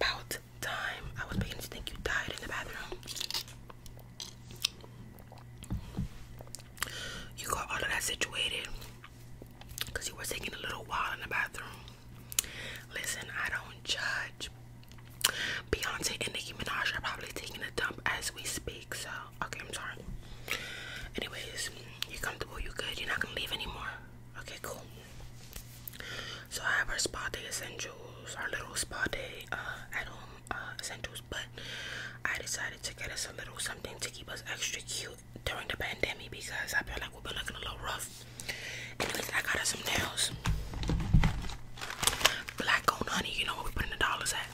About time. I was beginning to think you died in the bathroom. You got all of that situated because you were taking a little while in the bathroom. Listen, I don't judge. Beyonce and Nicki Minaj are probably taking a dump as we speak, so Okay, I'm sorry. Anyways, you're comfortable, you are good, you're not gonna leave anymore. Okay, cool. So I have our spa day essentials, our little spa day uh, at home uh, essentials, but I decided to get us a little something to keep us extra cute during the pandemic because I feel like we've been looking a little rough. Anyways, I got us some nails. Black on honey, you know what we put in the dollars at.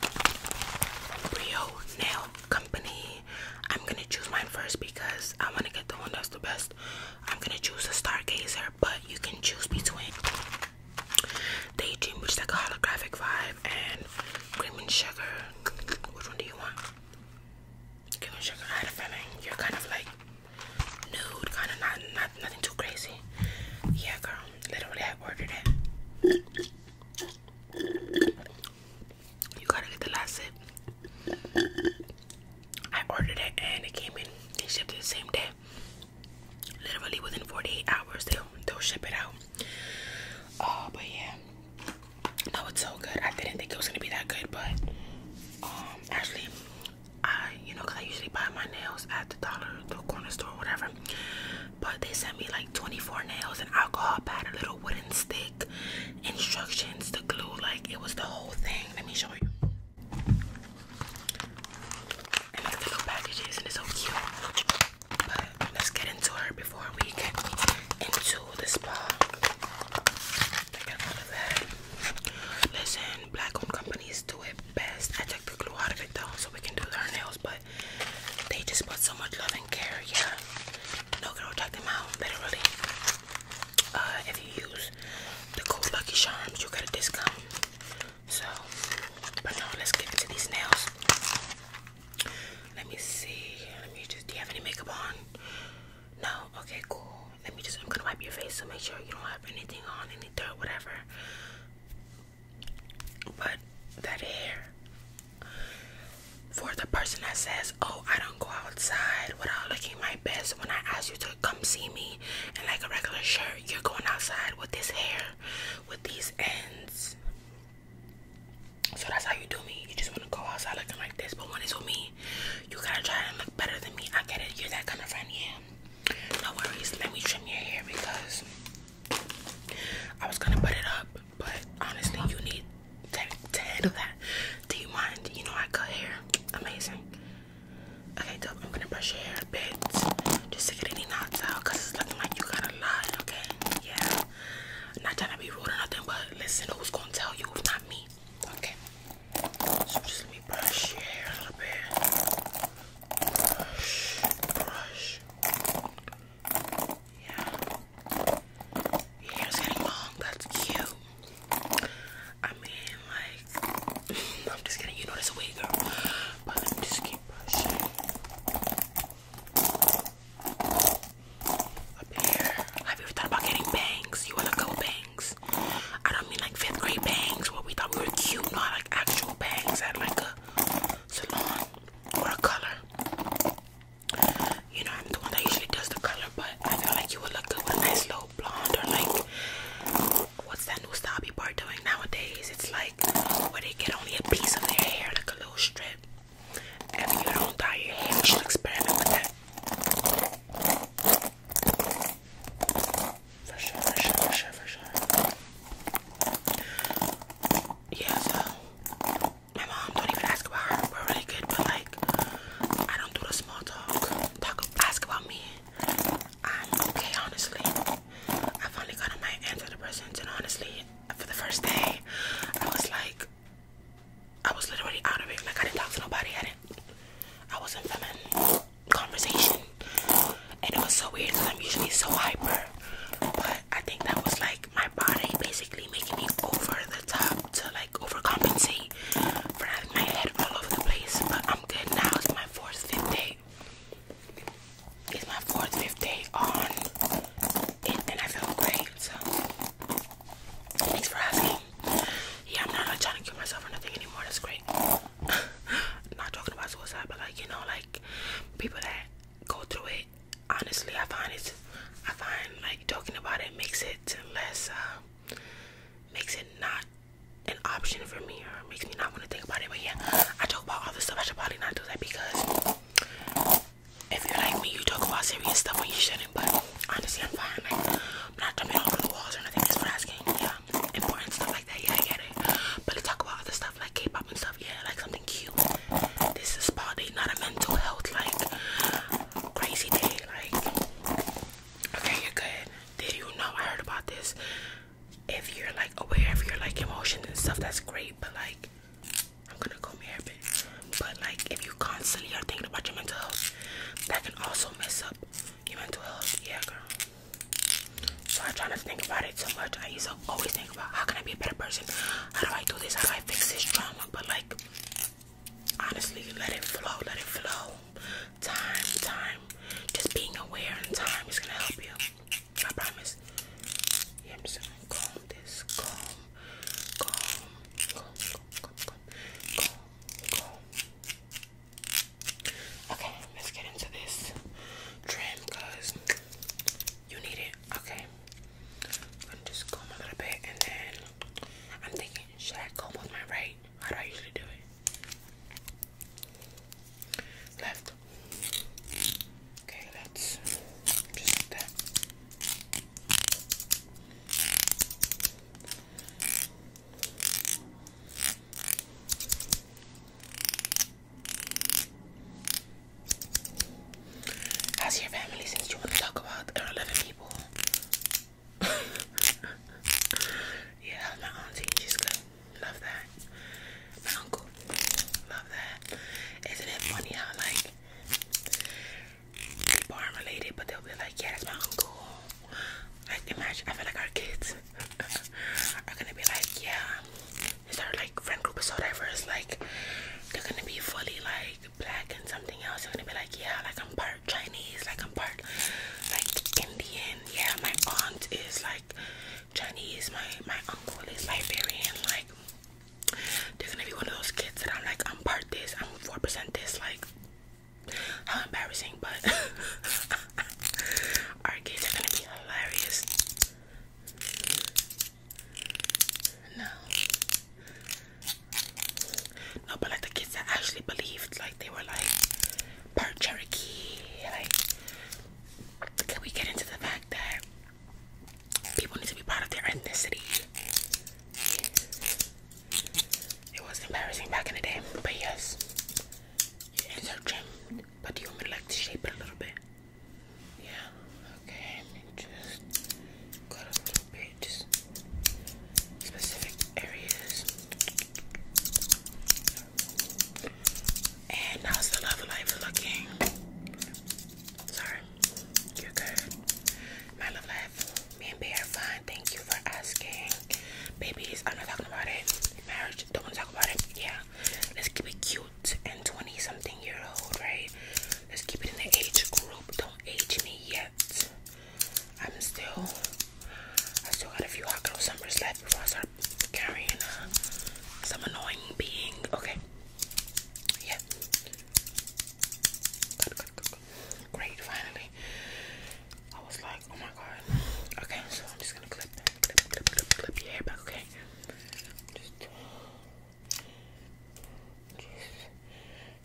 Rio Nail Company. I'm gonna choose mine first because I wanna get the one that's the best. I'm gonna choose a Stargazer, but you can choose between Daydream, which is like a holographic vibe, and Cream and Sugar. Which one do you want? Cream and Sugar. I had a you're kind of like nude, kind of not, not nothing too crazy. Yeah, girl. Literally, I ordered it. You gotta get the last sip. I ordered it and it came in. They shipped it the same day. Literally within 48 hours, they'll, they'll ship it out. Oh, but yeah. No, it's so good. I didn't think it was gonna be that good, but um, actually, I you know, I usually buy my nails at the dollar, the corner store, whatever. But they sent me like 24 nails and alcohol pad, little wooden stick instructions to glue like it was the whole thing let me show you little packages and it's so cute but let's get into her before we get into the spa I got all of that listen black owned companies do it best I took the glue out of it though so we can do their nails but they just put so much love skincare, yeah. No girl, check them out, literally. Uh, if you use the code Lucky Charms, you get a discount. So, but no, let's get into these nails. Let me see. Let me just. Do you have any makeup on? No. Okay, cool. Let me just. I'm gonna wipe your face to make sure you don't have anything on, any dirt, whatever. But that hair. For the person that says, Oh, I don't go outside without looking my best, when I ask you to come see me in like a regular shirt, you're going outside with this hair, with these ends. So that's how you do me. You just want to go outside looking like this, but when it's with me, you gotta try to look better than me. I get it, you're that kind of friend, yeah. No worries, let me trim your hair because I was gonna put it up, but honestly, you need to, handle that. Do you mind? You know I cut hair. Amazing. Okay, dope. I'm gonna brush your hair a bit just to get any knots out because it's looking like you got a lot, okay? Yeah. i not trying to be rude or nothing, but listen, who's gonna tell you if not me? Okay. So just let me brush your hair a little bit. Brush, brush. Yeah. Your hair's getting long. That's cute. I mean, like, I'm just kidding. You know this a wig, girl. But let me just keep Up here. Have you ever thought about getting bangs? You wanna go bangs? I don't mean like fifth grade bangs where we thought we were cute, not like actual bangs at like a salon or a color. You know, I'm the one that usually does the color, but I feel like you would look good with a nice little blonde or like what's that new style people doing nowadays? It's like where they get only a piece of their hair, like a little strip. And then you don't dye your hair, you should experiment with that. For sure, Yeah, so my mom, don't even ask about her. We're really good, but like, I don't do the small talk. Talk, ask about me. I'm okay, honestly. I finally got on my antidepressants, and honestly, for the first day, I was like, I was literally out of it. Like, I didn't talk to nobody. I didn't, I wasn't feeling conversation. And it was so weird because I'm usually so hyper. But I think that was like my body basically making me over the top to like overcompensate for having my head all over the place. But I'm good now. It's my fourth, fifth day. It's my fourth, fifth day on and I feel great. So thanks for asking. Yeah, I'm not like trying to kill myself or nothing anymore. That's great. not talking about suicide, but like you know, like people that go through it honestly, I find it. I find like talking about it makes it less. Uh, makes it not an option for me, or makes me not want to think about it. But yeah, I talk about all this stuff. I should probably not do that because if you're like me, you talk about serious stuff when you shouldn't. But honestly, I'm fine. Like, I'm not jumping over the walls or nothing. That's what asking, Yeah, important stuff like that. Yeah, I get it. But I talk about other stuff like K-pop and stuff, yeah, like something cute. This is spa not a mental health like crazy day. Like, okay, you're good. Did you know I heard about this? If you're like aware of your like emotions and stuff, that's great. But like, I'm gonna comb your hair a But like, if you constantly are thinking about your mental health, that can also mess up your mental health. Yeah, girl. So I try not to think about it so much. I used to always think about how can I be a better person? How do I do this? How do I fix this trauma? But like, honestly let it flow let it flow time time just being aware in time is gonna help you i promise yeah i'm just calm this calm calm calm calm calm calm calm, okay let's get into this trim because you need it okay i'm just comb a little bit and then I'm thinking, should I go with my right? How do I usually do it? Left. Okay, let just like that. How's your family since you want to talk about there are 11 people? yeah, my auntie? She's good. Love that. My uncle. Love that. Isn't it funny how, like, people aren't related, but they'll be like, yeah, that's my uncle. Like, imagine, I feel like our kids are gonna be like, yeah, is our like friend group is so diverse, like, they're gonna be fully like black and something else, you're gonna be like, yeah, like I'm part Chinese, like I'm part like Indian. Yeah, my aunt is like Chinese, my my uncle is Liberian, like they're gonna be one of those kids that I'm like, I'm part this, I'm four percent this, like how embarrassing, but our kids are gonna be hilarious. No. No, but like the kids that actually believed, like they were like part Cherokee. Like, can we get into the fact that people need to be proud of their ethnicity? It was embarrassing back in the day, but yes, you insert gym, but you want me to like shape it a little bit. Yeah, Okay, just specific areas. And how's the love life looking? Sorry, you're good. My love life, me and Bear fine. Thank you for asking. Babies, I'm not talking about it. Marriage, don't want to talk about it. Yeah, let's keep it cute and 20 something year old, right? Let's keep it in the age group. Don't age me yet. I'm still, I still got a few hot girl summers left before I start carrying uh, some annoying being. Okay. Yeah. Great, finally. I was like, oh my god. Okay, so I'm just gonna clip, clip, clip, clip, your hair back, okay?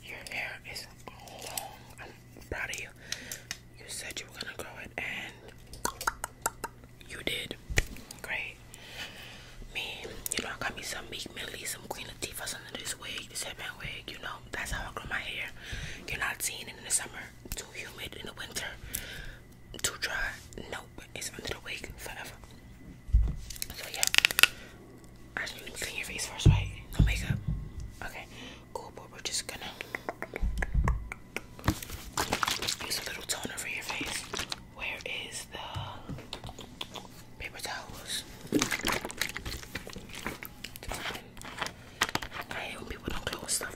Your hair is long. I'm proud of you. You said you were gonna grow it, and you did. Great. Me, you know, I got me some big Millie, some Queen Latifah's under this wig, this headband wig. You know, that's how I grow my hair. You're not seeing it in the summer. Too humid in the winter. Too dry. Nope. It's under the wig forever. So yeah, I just need to clean your face first, right? No makeup. Okay, cool. But we're just gonna use a little toner for your face. Where is the paper towels? I hate people don't close stuff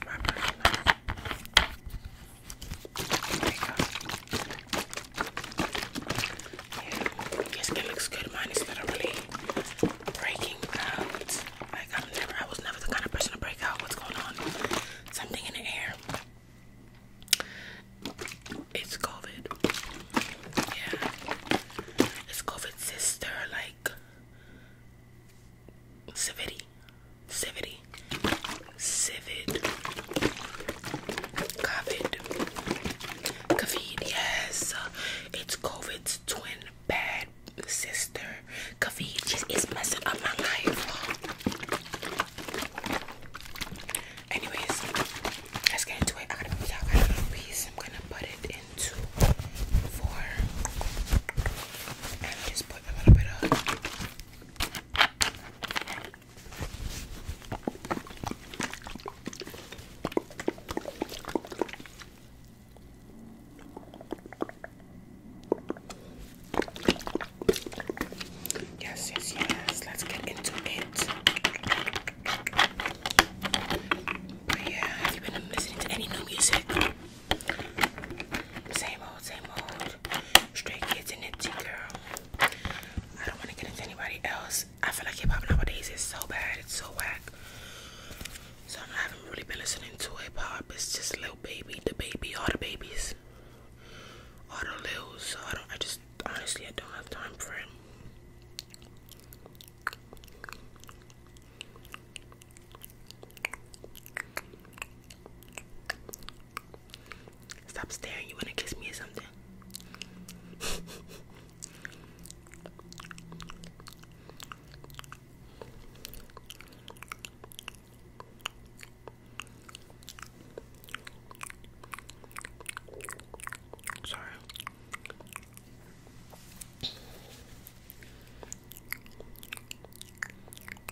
Yes, it looks good. Mine is literally breaking out. Like I'm never, I was never the kind of person to break out. What's going on? Something in the air. It's COVID. Yeah. It's COVID sister, like civility. Civility. Civid. COVID. COVID, yes. It's COVID's twin bad sister. COVID just is messing up my life. Anyways, let's get into it. I am gonna put it into four. And just put a little bit of Yes, yes, yes. Let's get into it. But yeah, have you been listening to any new music? Same old, same old. Straight kids and Nipsey girl. I don't want to get into anybody else I feel like hip hop nowadays is so bad, it's so whack. So I haven't really been listening to hip hop. It's just Lil Baby, the baby, all the babies, all the Lils. So I don't. I just honestly, I don't have time for it. Stop staring. You wanna kiss me or something? Sorry.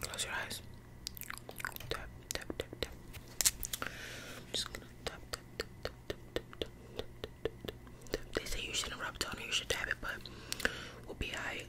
Close your eyes. Tap, tap, tap, tap. just gonna tap, tap, tap, tap, they say you shouldn't rub on, you should dab it, but we'll be alright.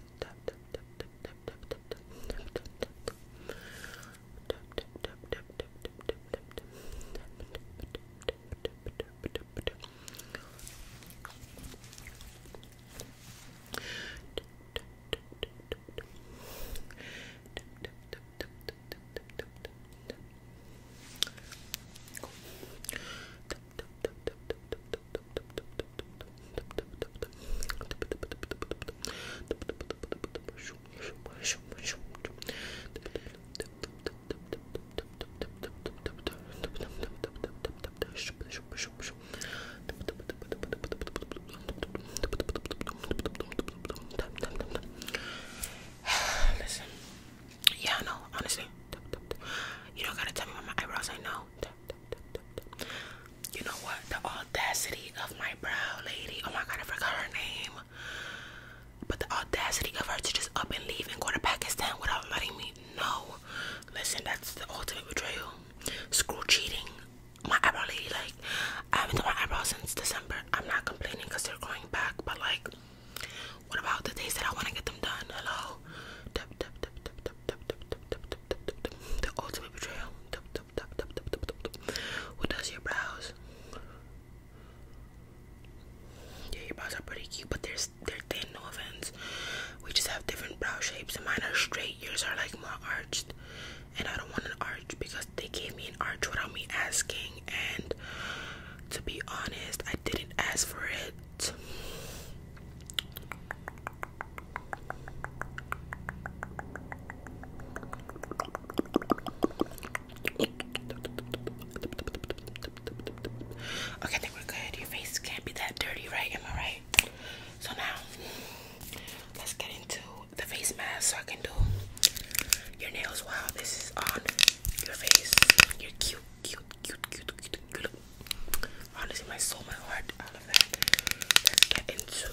Listen, yeah, no, honestly. You don't gotta tell me about my eyebrows, I know. You know what? The audacity of my brow lady. Oh my god, I forgot her name. But the audacity of her to just up and leave and go to Pakistan without letting me know. Listen, that's the ultimate betrayal. Screw cheating. My eyebrow lady, like, I haven't done my eyebrows since December. I'm not complaining because they're going back, but like what about the days that I want to get them done? Hello? The ultimate betrayal. Who does your brows? Yeah, your brows are pretty cute, but they're, they're thin, no offense. We just have different brow shapes. Mine are straight, yours are like more arched. And I don't want an arch because they gave me an arch without me asking. And to be honest, I didn't ask for it. Okay, I think we're good. Your face can't be that dirty, right? Am I right? So now, let's get into the face mask so I can do your nails while this is on your face. You're cute, cute, cute, cute, cute, cute. Honestly, my soul, my heart, all of that. Let's get into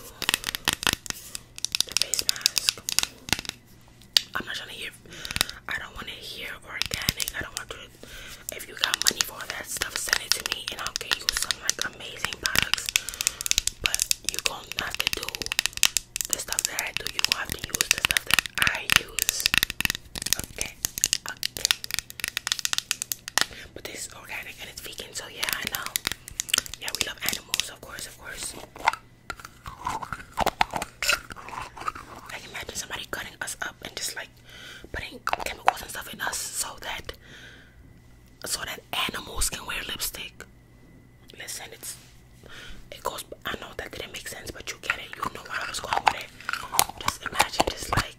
the face mask. I'm not trying to hear. I don't want to hear organic. I don't want to. If you got money for all that stuff, send it to me, and I'll get you some like amazing products. But you gonna have to do the stuff that I do, you're gonna have to use the stuff that I use. Okay, okay. But this is organic and it's vegan, so yeah, I know. Yeah, we love animals, of course, of course. I can imagine somebody cutting us up and just like putting chemicals and stuff in us so that so that animals can wear lipstick. Listen, it's it goes, I know that didn't make sense, but you get it. You know where I was going with it. Just imagine just like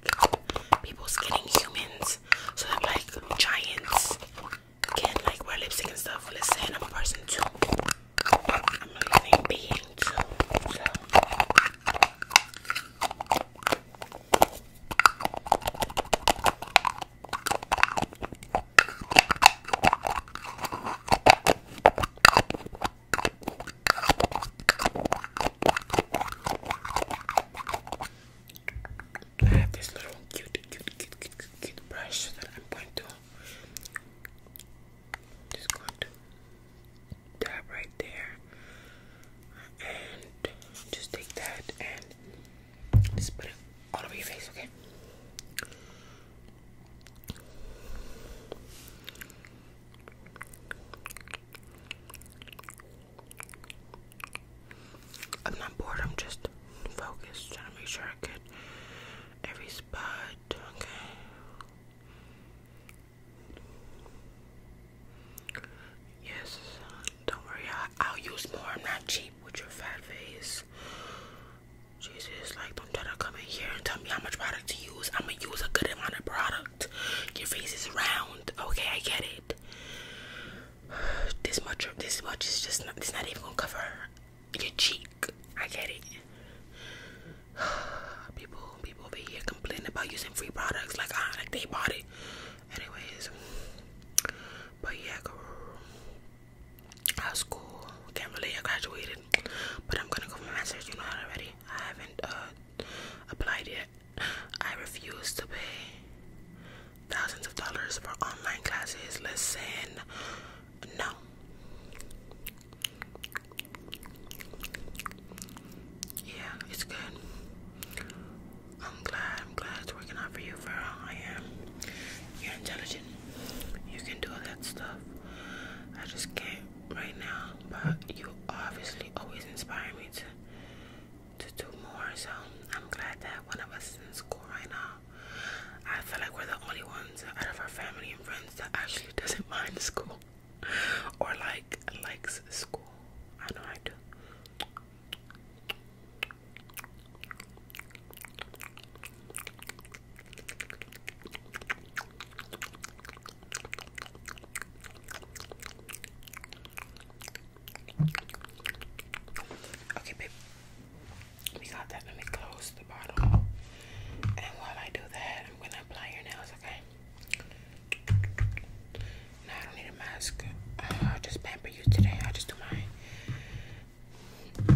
people skinning humans so that like giants can like wear lipstick and stuff. Listen, I'm a person too. I'm a living being too. I have this little cute, cute, cute, cute, cute, brush that I'm going to just going to dab right there, and just take that and just put it all over your face, okay? I'm not bored, I'm just focused, trying to make sure I get every spot, okay? Yes, don't worry, I'll, I'll use more, I'm not cheap with your fat face. Jesus, like, don't try to come in here and tell me how much product to use. I'm gonna use a good amount of product. Your face is round. Okay, I get it. This much, this much is just not, it's not even gonna cover your cheek. I get it. People, people over here complaining about using free products like, ah, like they bought it. Anyways, but yeah, girl, how's school? can't believe I graduated, but I'm gonna go for my master's. You know that already. I haven't uh, applied yet. I refuse to pay thousands of dollars for online classes. Listen, no. Yeah, it's good. I'm glad. I'm glad it's working out for you, girl. I am. You're intelligent. You can do all that stuff. I just can't right now, but you obviously always inspire me to to do more. So I'm glad that one of us is in school right now. I feel like we're the only ones out of our family and friends that actually doesn't mind school or like likes school. I know I do. Okay, babe. We got that. Let me close the bottle. And while I do that, I'm gonna apply your nails, okay? No, I don't need a mask. Uh, I'll just pamper you today. i just do my.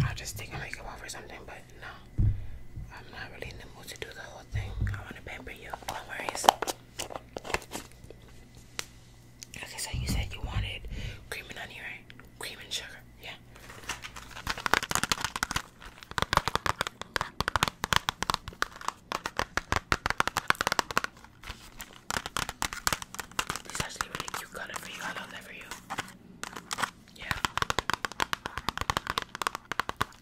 I'll just take a makeup off or something, but no, I'm not really in the mood to do the whole thing. I want to pamper you. No worries. Like I said, you said you wanted cream and onion, right? Cream and sugar, yeah. It's actually really cute color for you. I love that for you. Yeah.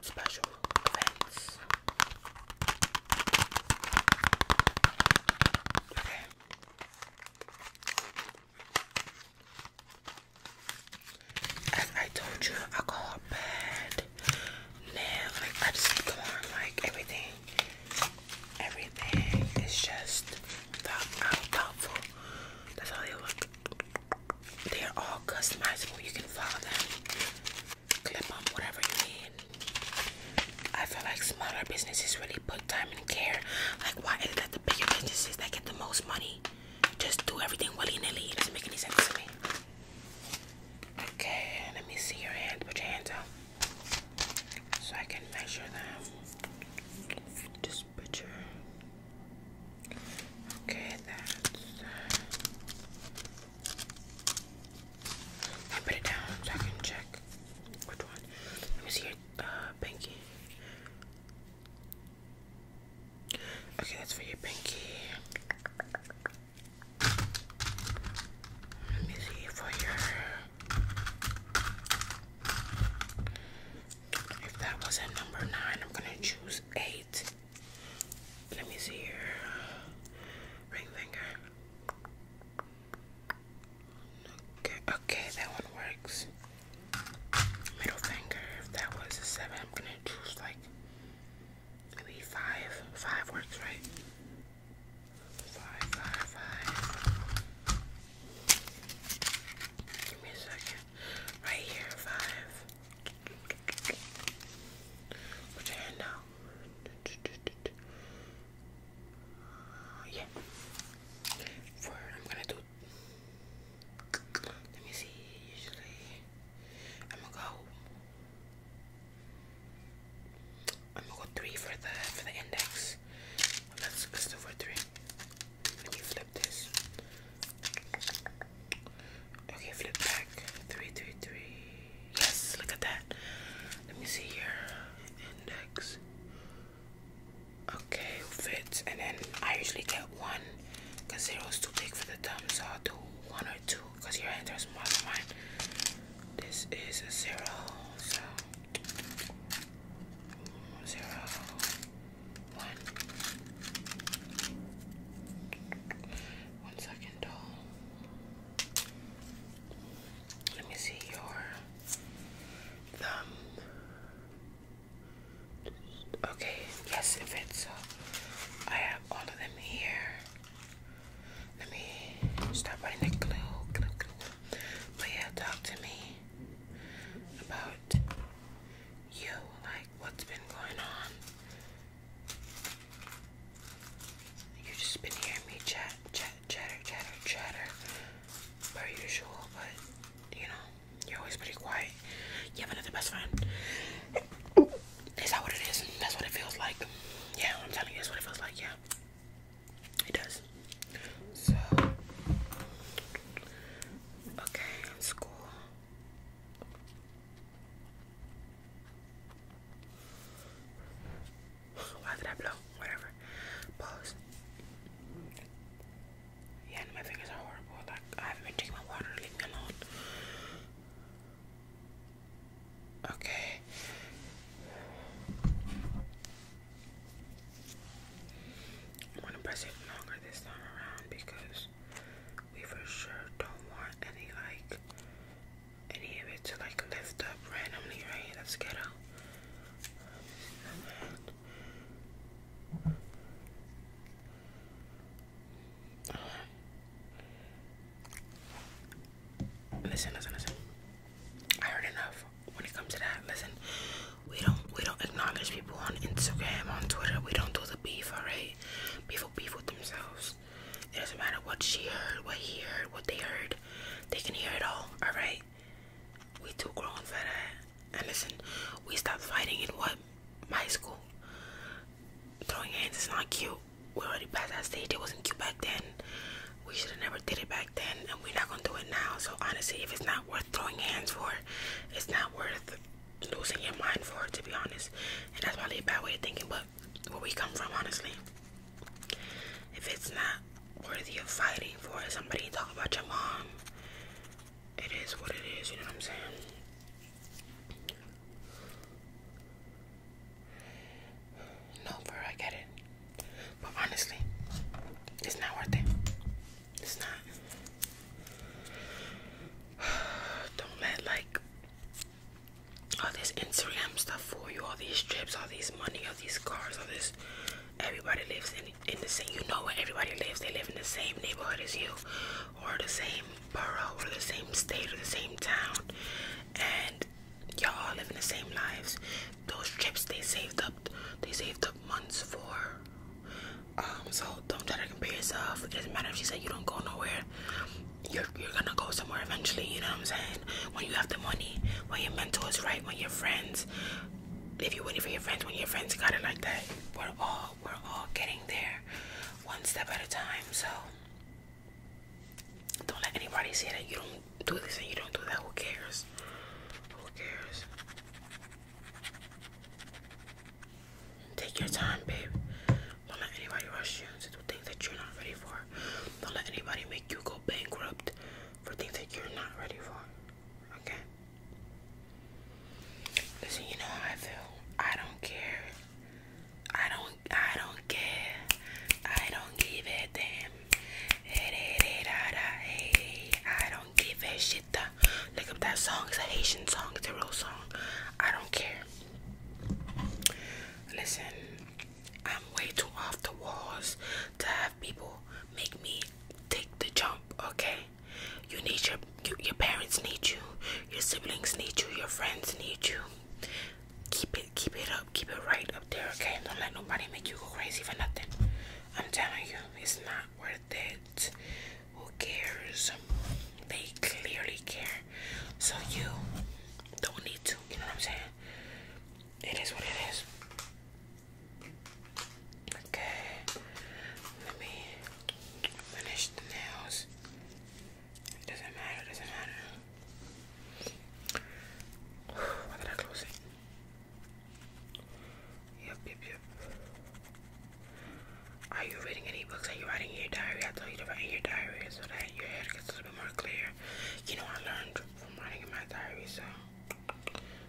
special events. As I told you, I got bad now. Like I just come on, like everything, everything is just thoughtful. That's how they look. They're all customizable. You can follow them, clip on whatever you need. I feel like smaller businesses really put time and care. Like, why is it that the bigger businesses that get the most money just do everything willy nilly? It doesn't make any sense to me. Okay, let me see your hand. Put your hands out so I can measure them. Just put Okay, that's. Uh, I put it down I can check which one. Let me see your uh, pinky. Okay, that's for your pinky. Let me see for your. If that wasn't number nine, I'm gonna choose eight. Let me see your ring finger. Okay, okay, that one works. Middle finger, if that was a seven, I'm gonna choose like maybe five. Five works, right? Five, five, five. Give me a second. Right here, five. Put your yeah. For I'm gonna do. Let me see. Usually, I'm gonna go. I'm gonna go three for the for the index. Let's let's do for three. Let me flip this. Okay, flip back. Three, three, three. Yes, look at that. Let me see here. Index. Okay, fits. And then I usually get one because zero is too big for the thumb, so I'll do one or two because your hands is smaller than mine. This is a zero, so zero, one. One second, doll. Let me see your thumb. Okay, yes, it fits. I have all of them here. Let me stop writing the glue, glue, glue. But yeah, talk to me about you, like what's been going on you just been hearing me chat, chat, chatter, chatter, chatter, per usual, but you know, you're always pretty quiet. You have another best friend. Is that what it is? That's what it feels like. Yeah, I'm telling you, that's what it feels like, yeah. It does. So, okay, school. Why did I blow? Whatever. Pause. Yeah, my fingers are horrible. Like, I haven't been drinking my water. Leave me alone. Okay. I'm gonna press it longer this time around because we for sure don't want any like any of it to like lift up randomly, right? Let's get out. Listen, listen, listen. I heard enough when it comes to that. Listen, we don't we don't acknowledge people on Instagram, on Twitter. We don't do the beef, alright? People beef with themselves. It doesn't matter what she heard, what he heard, what they heard. They can hear it all, alright? We too grown for that. And listen, we stopped fighting in what? My school. Throwing hands is not cute. We already past that stage. It wasn't cute back then. We should have never did it back then, and we're not gonna do it now. So honestly, if it's not worth throwing hands for, it's not worth losing your mind for it, to be honest. And that's probably a bad way of thinking, but where we come from, honestly. If it's not worth you fighting for somebody talk about your mom, it is what it is, you know what I'm saying? No, bro, I get it. But honestly, it's not worth it. It's not. Don't let, like, all this Instagram stuff for you, all these trips, all these money, all these cars, all this. Everybody lives in, the same, you know where everybody lives. They live in the same neighborhood as you, or the same borough, or the same state, or the same town. And y'all all living the same lives. Those trips they saved up, they saved up months for. Um, so don't try to compare yourself. It doesn't matter if she said you don't go nowhere you're, you're gonna go somewhere eventually, you know what I'm saying? When you have the money, when your mentor is right, when your friends, if you're waiting for your friends, when your friends got it like that, we're all, we're all getting there one step at a time. So don't let anybody say that you don't do this and you don't do that. Who cares? Who cares? Take your time, babe. Don't let anybody rush you into things that you're not ready for. Don't let anybody make you go bankrupt for things that you're not ready for. Okay? Listen, you know how I feel. I don't care. I don't I don't care. I don't give a damn. I don't give a shit. Look up that song. It's a Haitian song. It's a real song. I don't care. Listen, I'm way too off the walls to have people make me take the jump, okay? You need your your parents need you, your siblings need you, your friends need you. Keep it keep it up, keep it right up there, okay? Don't let nobody make you go crazy for nothing. I'm telling you, it's not worth it. Who cares? They clearly care. So you don't need to, you know what I'm saying? It is what it is. Okay. Let me finish the nails. It doesn't matter, doesn't matter. Why did I close Yep, yep, yep. Are you reading any books? Are you writing in your diary? I told you to write in your diary so that your head gets a little bit more clear. You know, I learned from writing in my diary, so.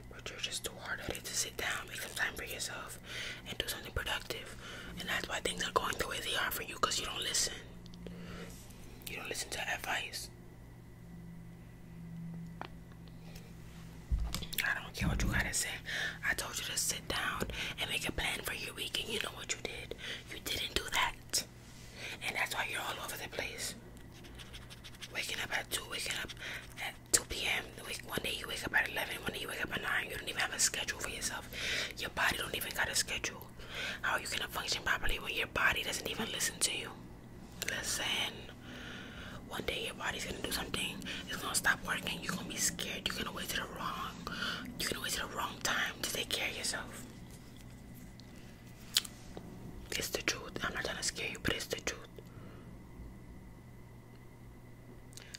But you're just too hard at it to sit down, make some time for yourself, and do something productive. And that's why things are going the way they are for you because you don't listen. You don't listen to advice. I don't care what you gotta say. I told you to sit down and make a plan for your week, and you know what you did. You didn't do that. And that's why you're all over the place. Waking up at 2, waking up at 2 p.m. One day you wake up at 11, one day you wake up at 9. You don't even have a schedule for yourself. Your body don't even got a schedule. How are you going to function properly when your body doesn't even listen to you? Listen. One day your body's going to do something. It's going to stop working. You're going to be scared. You're going to wait till the wrong. You're going to wait till the wrong time take care of yourself. It's the truth. I'm not going to scare you, but it's the truth.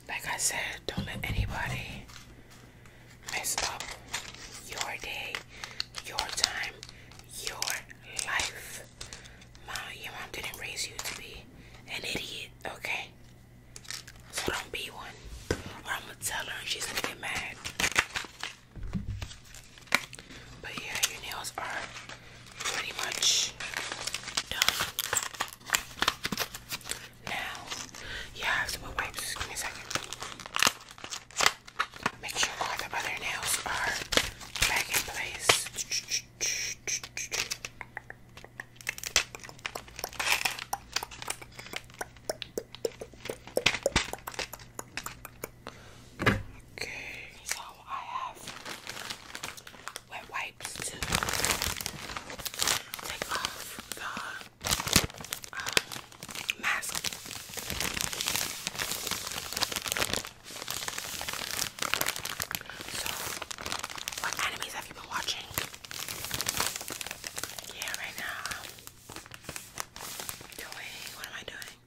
Like I said, don't let anybody mess up your day, your time, your life. Mom, your mom didn't raise you to be an idiot, okay? So don't be one. Or I'm gonna tell her and she's gonna get mad. But yeah, your nails are pretty much done. Now, yeah, I have Give me a second. Make sure all the other nails are back in place. Okay. So I have wet wipes to take off the um, mask. So, what animes have you been watching? Yeah, right now um, doing? What am I doing?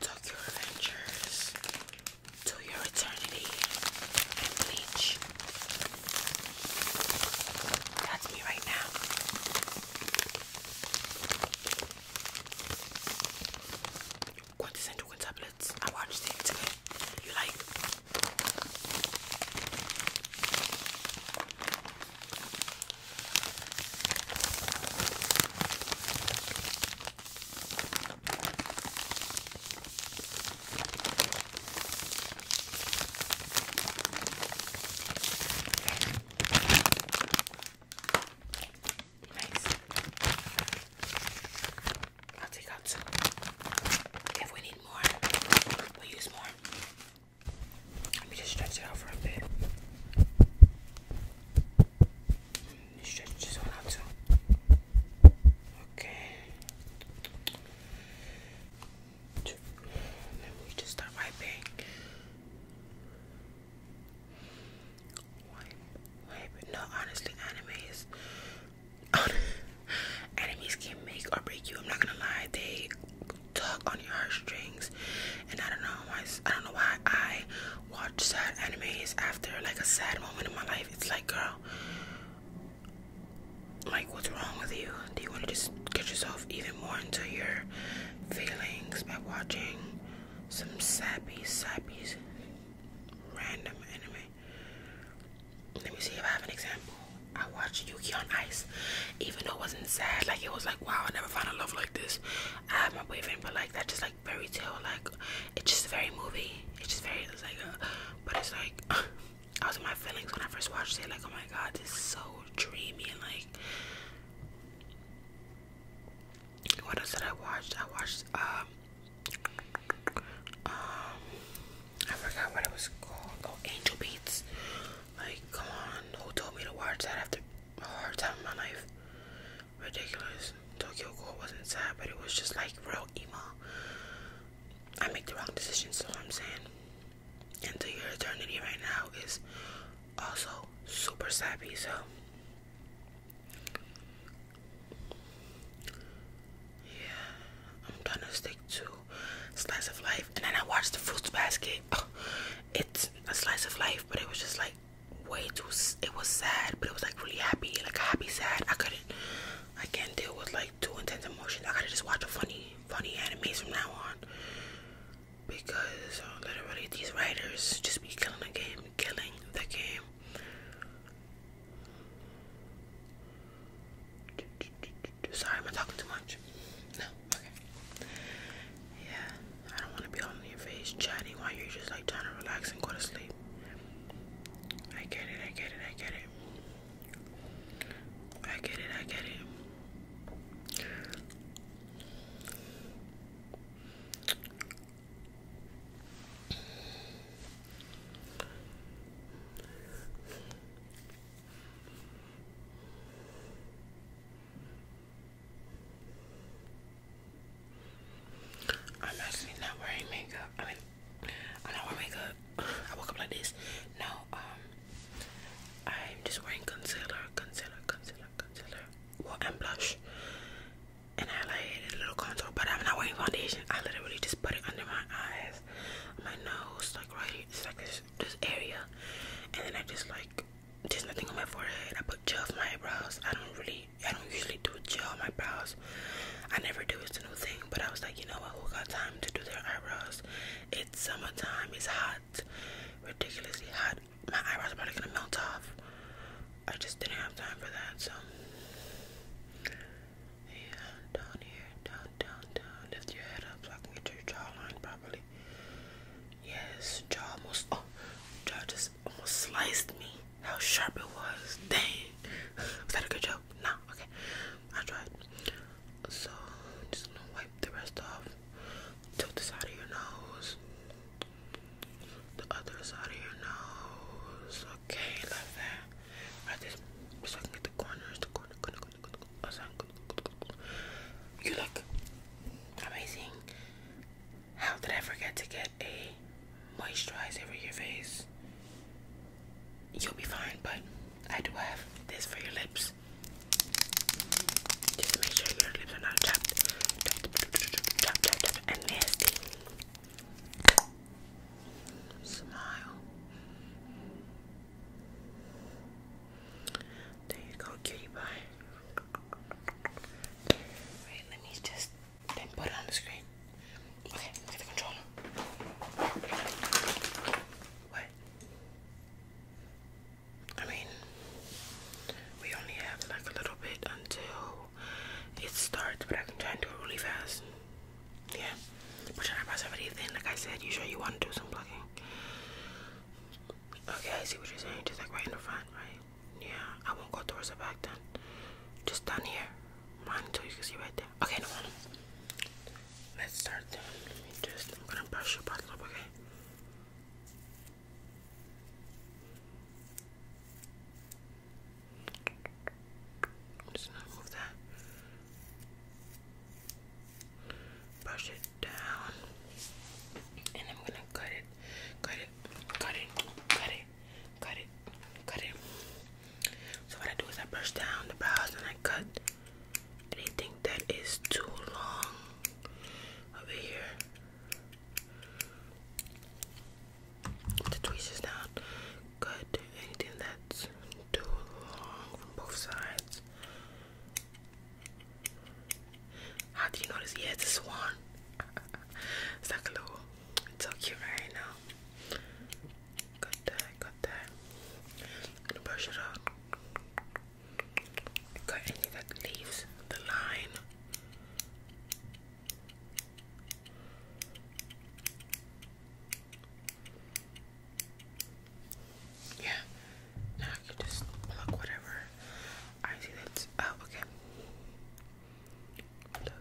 Tokyo Adventures to your eternity and bleach. That's me right now. Quantas and tablets. I watched it You like Nice. I'll take out two. If we need more, we'll use more. Let me just stretch it out for a bit. Stretch this one out too. Okay. Then we just start wiping. Wipe, wipe. No, honestly, anime is. can make or break you. I'm not gonna lie. They tug on your heartstrings. And I don't know why. I don't know why I watch sad anime after like a sad moment in my life. It's like, girl, like what's wrong with you? Do you want to just get yourself even more into your feelings by watching some sappy, sappy, random anime? Let me see if I have an example. I watched Yuki on Ice, even though it wasn't sad. Like it was like, wow, I never found a love like this. I had my boyfriend, but like that just like fairy tale. Like it's just very movie. It's just very it's like, a, uh, but it's like I was in my feelings when I first watched it. Like oh my god, this is so dreamy and like. What else did I watch? I watched um, um I forgot what it was called. Oh, Angel Beats. Like, come on, who told me to watch that after a hard time in my life? Ridiculous. Tokyo Ghoul wasn't sad, but it was just like real emo. I make the wrong decisions, so I'm saying. Into Your Eternity right now is also super sappy, so. Yeah, I'm gonna stick to slice of life, and then I watched the Fruits Basket. it's a slice of life, but it was just like way too. It was sad, but it was like really happy, like happy sad. I couldn't. I can't deal with like two intense emotions. I gotta just watch a funny, funny anime from now on because uh, literally these writers just be killing the game, killing the game. Sorry, am I talking too much? No, okay. Yeah, I don't want to be on your face chatting while you're just like trying to relax and go to sleep. I get it, I get it, I get it. I get it, I get it. I'm actually not wearing makeup. I mean, I don't wear makeup. I woke up like this. No, um, I'm just wearing concealer, concealer, concealer, concealer. Well, and blush, and highlight, and a little contour. But I'm not wearing foundation. I literally just put it under my eyes, my nose, like right here. It's like this this area, and then I just like there's nothing on my forehead. I put gel for my eyebrows. I don't really, I don't usually do gel on my brows. I never do. It's a new thing. But I was like, you know what? Who got time to do their eyebrows? It's summertime. It's hot, ridiculously hot. My eyebrows are probably gonna melt off. I just didn't have time for that. So yeah, down here, down, down, down. Lift your head up so I can get your jawline properly. Yes, jaw almost oh jaw just almost sliced me. How sharp it was. Dang. Was that a good joke? No, okay. I tried. So just gonna wipe the rest off. Tilt the side of your nose. The other side of your nose. Okay, love that. Right this so I can get the corners, the corner, you look amazing. How did I forget to get a moisturizer for your face? You'll be fine, but I do have this for your lips. Just make sure your lips are not chapped, chapped, chapped, and nasty. Smile. There you go, cutie pie. Wait, let me just put it on the screen. Okay, look the controller. What? I mean, we only have like a little bit until it starts, but I can try and do it really fast. Yeah, but you're not about to Like I said, you sure you want to do some plugging? Okay, I see what you're saying. Just like right in the front, right? Yeah, I won't go towards the back then. Just down here. Mine until you can see right there. Okay, no problem. Let's start then. just, I'm gonna brush your bottle up, okay? just move that brush it down, and I'm gonna cut it, cut it, cut it, cut it, cut it, cut it. So what I do is I brush down the brows and I cut anything that is too long over here. The tweezers down, cut anything that's too long from both sides. How do you know Yeah, it's a it's like a little. It's so cute right now. Got that, got that. I'm gonna brush it out. Got any that leaves the line. Yeah. Now you just pluck whatever. I see that's oh okay. Pluck.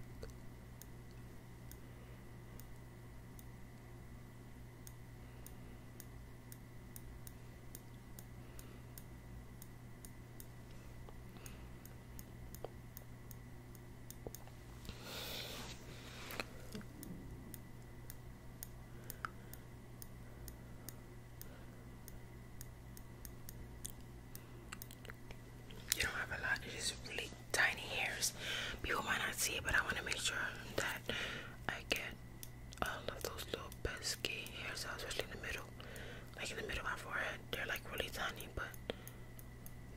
You don't have a lot, it's just really tiny hairs. People might not see it, but I want to make sure that I get all of those little pesky hairs, especially in the middle. Like in the middle of my forehead, they're like really tiny, but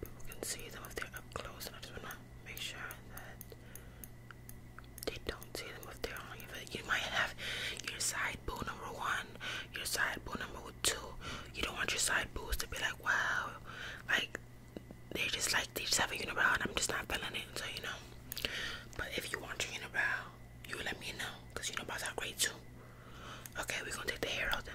people can see them if they're up close. And I just want to make sure that they don't see them if they're on You might have your side boo number one, your side boo number two. You don't want your side boos to be like, wow, like they just like they just have a unibrow and I'm just not feeling it. So you know. But if you want your unibrow, you let me know because you know unibrows are great too. Okay, we're gonna take the hair out then.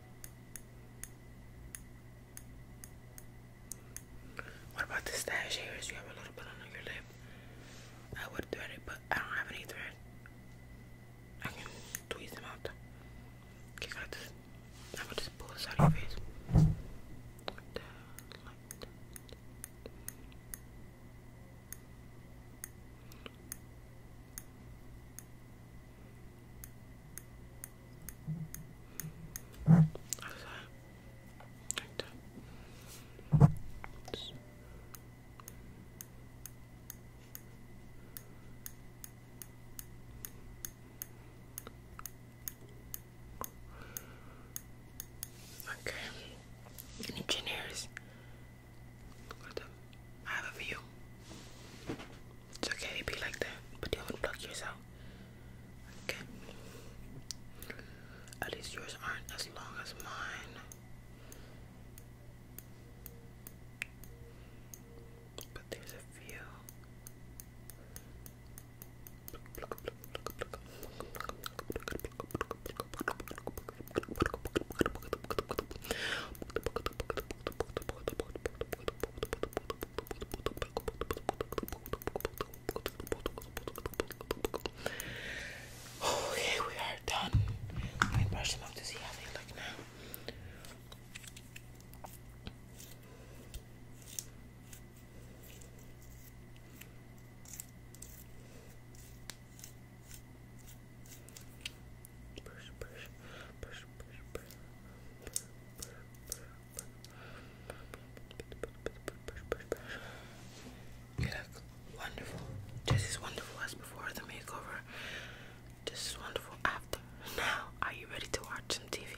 What about the stash hairs? You have a little bit on your lip. I would thread it, but I don't have any thread. I can tweeze them out. Okay, got this. I'm just pull this out of your face. Like that, like that. How's that? Okay. Engineers I have a view. It's okay to be like that, but don't unplug yourself. Okay. At least yours aren't as long as mine. But there's a few. Okay, we are done. Let me brush them up to see how they look now. Just as wonderful as before the makeover. Just as wonderful after. Now, are you ready to watch some TV?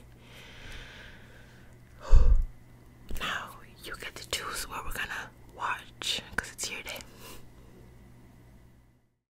now you get to choose where we're gonna watch because it's your day.